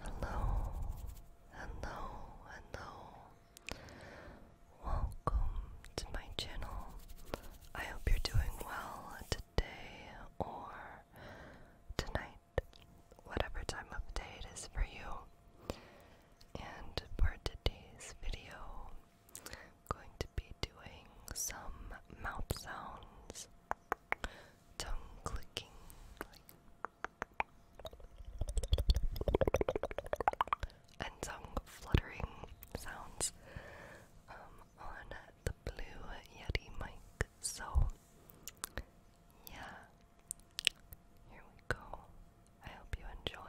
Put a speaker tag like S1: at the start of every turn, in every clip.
S1: Hello, hello, hello. Welcome to my channel. I hope you're doing well today or tonight, whatever time of day it is for you. And for today's video, going to be doing some mouth sounds, tongue clicking, and tongue fluttering sounds um, on the Blue Yeti mic. So, yeah, here we go. I hope you enjoy.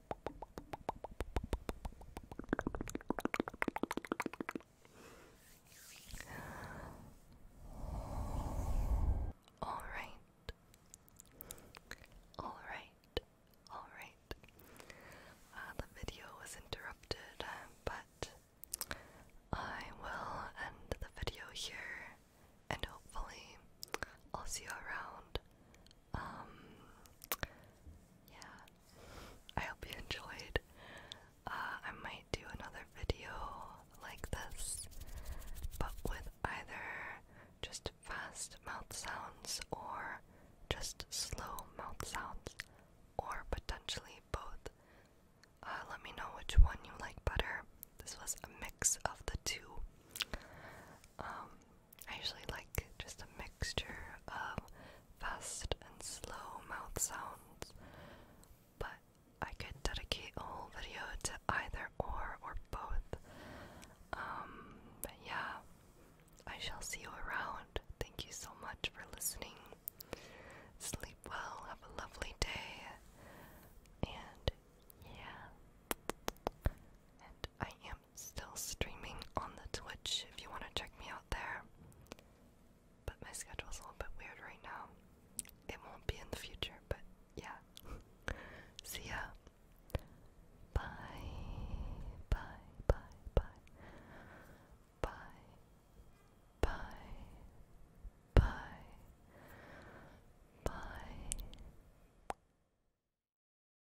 S1: All right. All right. All right. Uh, the video was interrupted, but I will end the video here and hopefully I'll see you around um, yeah, I hope you enjoyed. Uh, I might do another video like this, but with either just fast mouth sounds or just slow mouth sounds, or potentially both. Uh, let me know which one you like better. This was a mix of the two. Um, I usually like just a mixture of fast and slow mouth sounds, but I could dedicate a whole video to either or or both. Um, but yeah, I shall see you around. Thank you so much for listening. Sleep well, have a lovely day, and yeah. And I am am still streaming on the Twitch if you want to check me out there. But my schedule's a little bit weird right now. It won't be in the future, but yeah. See ya. Bye. Bye. Bye. Bye. Bye. Bye. Bye. Bye.